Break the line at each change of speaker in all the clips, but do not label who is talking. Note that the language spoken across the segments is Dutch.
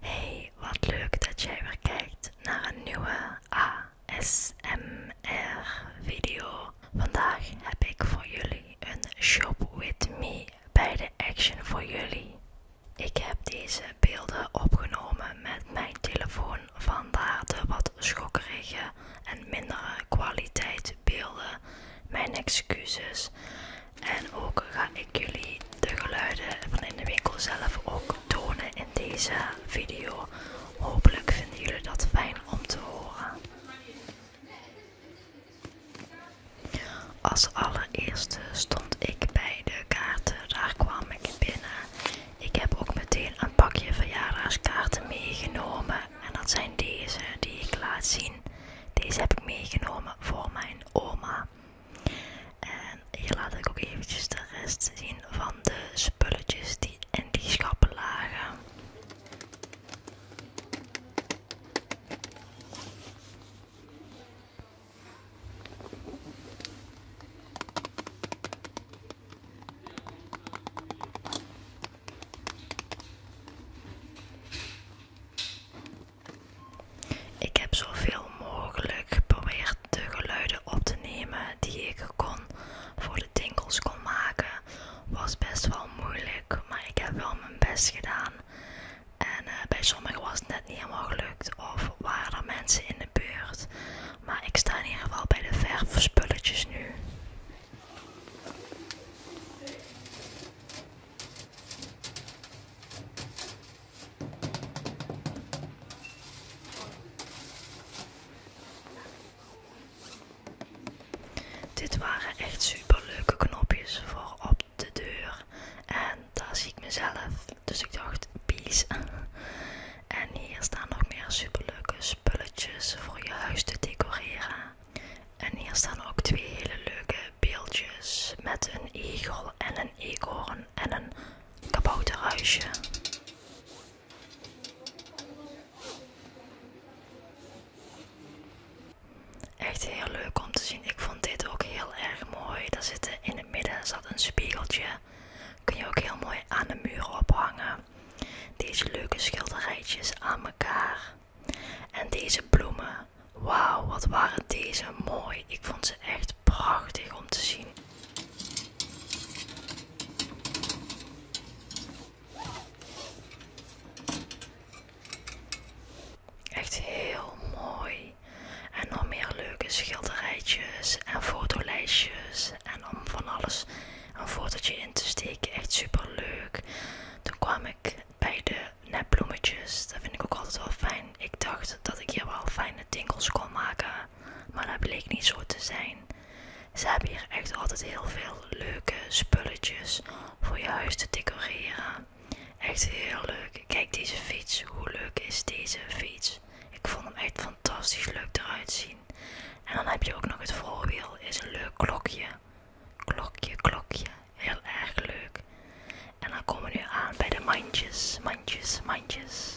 Hey, wat leuk dat jij weer kijkt naar een nieuwe ASMR-video. Vandaag heb ik voor jullie een Shop With Me bij de Action voor jullie. Ik heb deze beelden opgenomen met mijn telefoon, vandaar de wat schokkerige en mindere kwaliteit beelden. Mijn excuses. En ook ga ik jullie de geluiden van in de winkel zelf ook tonen in deze video. Hopelijk vinden jullie dat fijn om te horen. Als allereerste stond ik bij de kaarten, daar kwam ik binnen. Ik heb ook meteen een pakje verjaardagskaarten meegenomen. En dat zijn deze die ik laat zien. Deze heb ik meegenomen voor mijn oma. En hier laat ik ook eventjes de rest zien van de spulletjes die in die schappen lagen. Ik heb zoveel mogelijk geprobeerd de geluiden op te nemen die ik kon voor de tinkels kon maken. Was best wel moeilijk, maar ik heb wel mijn best gedaan. En eh, bij sommigen was het net niet helemaal gelukt of waren er mensen in de buurt. Maar ik sta in ieder geval bij de verfspulletjes nu. Dit waren echt super leuke knopjes voor op de deur. En daar zie ik mezelf. Dus ik dacht, peace. En hier staan nog meer super leuke spulletjes voor je huis te decoreren. En hier staan ook twee hele leuke beeldjes met een egel en een eekhoorn en een kabouterhuisje. Echt heel leuk om te zien. Ik vond dit ook heel erg mooi. Daar zitten in het midden zat een spiegeltje. Kun je ook heel mooi aan de muur ophangen. Deze leuke schilderijtjes aan elkaar. En deze bloemen, wauw, wat waren deze mooi. Ik vond ze echt prachtig om te zien. Echt heel mooi. En nog meer leuke schilderijtjes en fotolijstjes en om van alles een je in te steken. Echt super leuk. Toen kwam ik bij de netbloemetjes. Dat vind ik ook altijd wel fijn. Ik dacht dat ik hier wel fijne tinkels kon maken. Maar dat bleek niet zo te zijn. Ze hebben hier echt altijd heel veel leuke spulletjes voor je huis te decoreren. Echt heel leuk. Kijk deze fiets. Hoe leuk is deze fiets? Ik vond hem echt fantastisch leuk eruit zien. En dan heb je ook nog het voorwiel. Is een leuk klokje. Klokje, klokje. Heel erg leuk. En dan komen we nu aan bij de mandjes, mandjes, mandjes.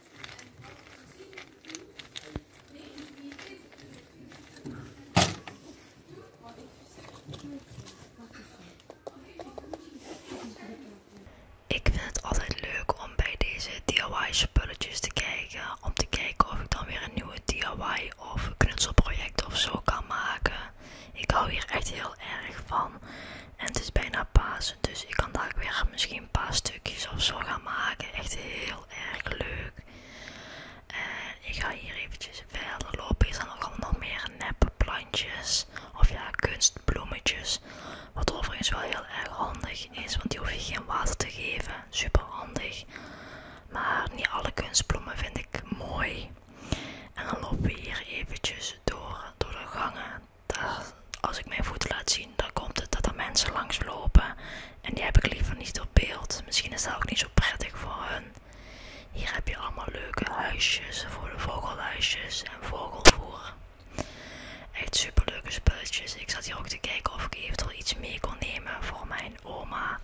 Ik vind het altijd leuk om bij deze DIY spulletjes te kijken. Om te kijken of ik dan weer een nieuwe DIY of knutselproject of zo kan maken. Ik hou hier echt heel erg van. En het is bijna Pasen, dus ik kan daar weer misschien een paar stukjes of zo gaan maken. Echt heel erg leuk. En eh, ik ga hier eventjes verder lopen. Hier zijn ook allemaal nog meer neppe plantjes. Of ja, kunstbloemetjes. Wat overigens wel heel erg handig is, want die hoef je geen water te geven. Super handig. Maar niet alle kunstbloemen vind ik mooi. En dan lopen we hier eventjes door, door de gangen als ik mijn voeten laat zien, dan komt het dat er mensen langs lopen. En die heb ik liever niet op beeld. Misschien is dat ook niet zo prettig voor hun. Hier heb je allemaal leuke huisjes voor de vogelhuisjes en vogelvoer. Echt super leuke spulletjes. Ik zat hier ook te kijken of ik eventueel iets mee kon nemen voor mijn oma.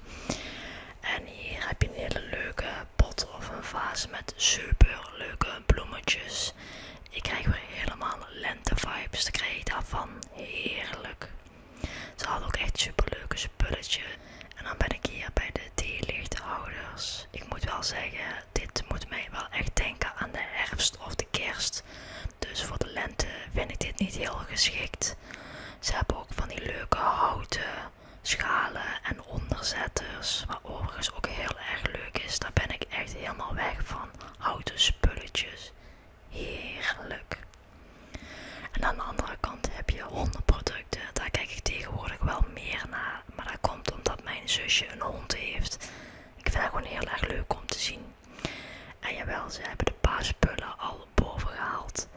En hier heb je een hele leuke pot of een vaas met super leuke bloemetjes ik krijg weer helemaal lente vibes. Daar krijg ik daarvan heerlijk. Ze hadden ook echt super leuke spulletje. En dan ben ik hier bij de theelichthouders. Ik moet wel zeggen, dit moet mij wel echt denken aan de herfst of de kerst. Dus voor de lente vind ik dit niet heel geschikt. Ze hebben ook van die leuke houten schalen en onderzetters. Wat overigens ook heel erg leuk is. Daar ben ik echt helemaal weg van houten spulletjes. Heerlijk. En aan de andere kant heb je hondenproducten. Daar kijk ik tegenwoordig wel meer naar. Maar dat komt omdat mijn zusje een hond heeft. Ik vind dat gewoon heel erg leuk om te zien. En jawel, ze hebben de spullen al boven gehaald.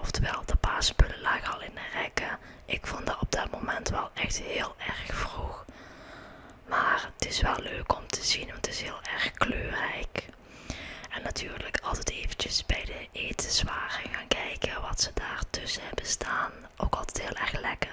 Oftewel, de spullen lagen al in de rekken. Ik vond dat op dat moment wel echt heel erg vroeg. Maar het is wel leuk om te zien, want het is heel erg kleurrijk. En natuurlijk altijd eventjes bij de etenswaren gaan kijken wat ze daar tussen hebben staan. Ook altijd heel erg lekker.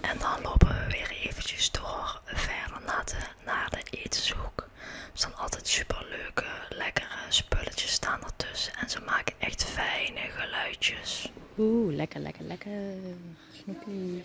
En dan lopen we weer eventjes door verder naar de eetzoek. Er staan altijd super leuke, lekkere spulletjes staan ertussen. En ze maken echt fijne geluidjes. Oeh, lekker, lekker, lekker. Snoepies.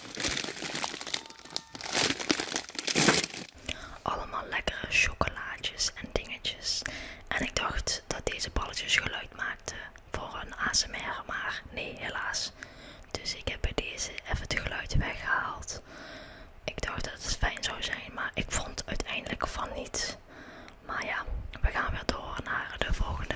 Allemaal lekkere chocolaatjes en dingetjes. En ik dacht dat deze balletjes geluid maakten voor een ASMR, maar nee, helaas. Dus ik heb bij deze even het geluid weggehaald. Ik dacht dat het fijn zou zijn, maar ik vond uiteindelijk van niet. Maar ja, we gaan weer door naar de volgende.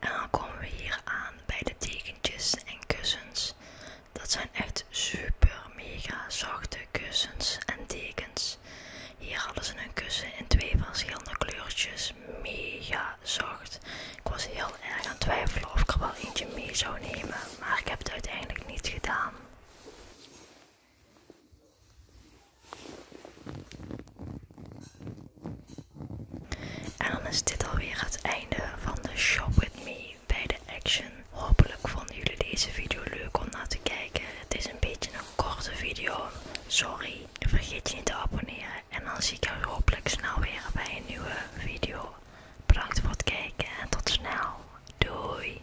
En dan komen we hier aan bij de dekentjes en kussens. Dat zijn echt super mega zachte kussens en dekens. Hier hadden ze een kussen in twee verschillende kleurtjes. Mega zacht. Ik was heel erg aan het twijfelen of ik er wel eentje mee zou nemen. Maar ik heb het uiteindelijk niet gedaan. En dan is dit alweer het einde van de Shop With Me bij de Action. Hopelijk vonden jullie deze video leuk om naar te kijken. Het is een beetje een korte video. Sorry. Vergeet je niet te abonneren. En dan zie ik jullie hopelijk snel weer bij een nieuwe video. Bedankt voor het kijken en tot snel. Doei.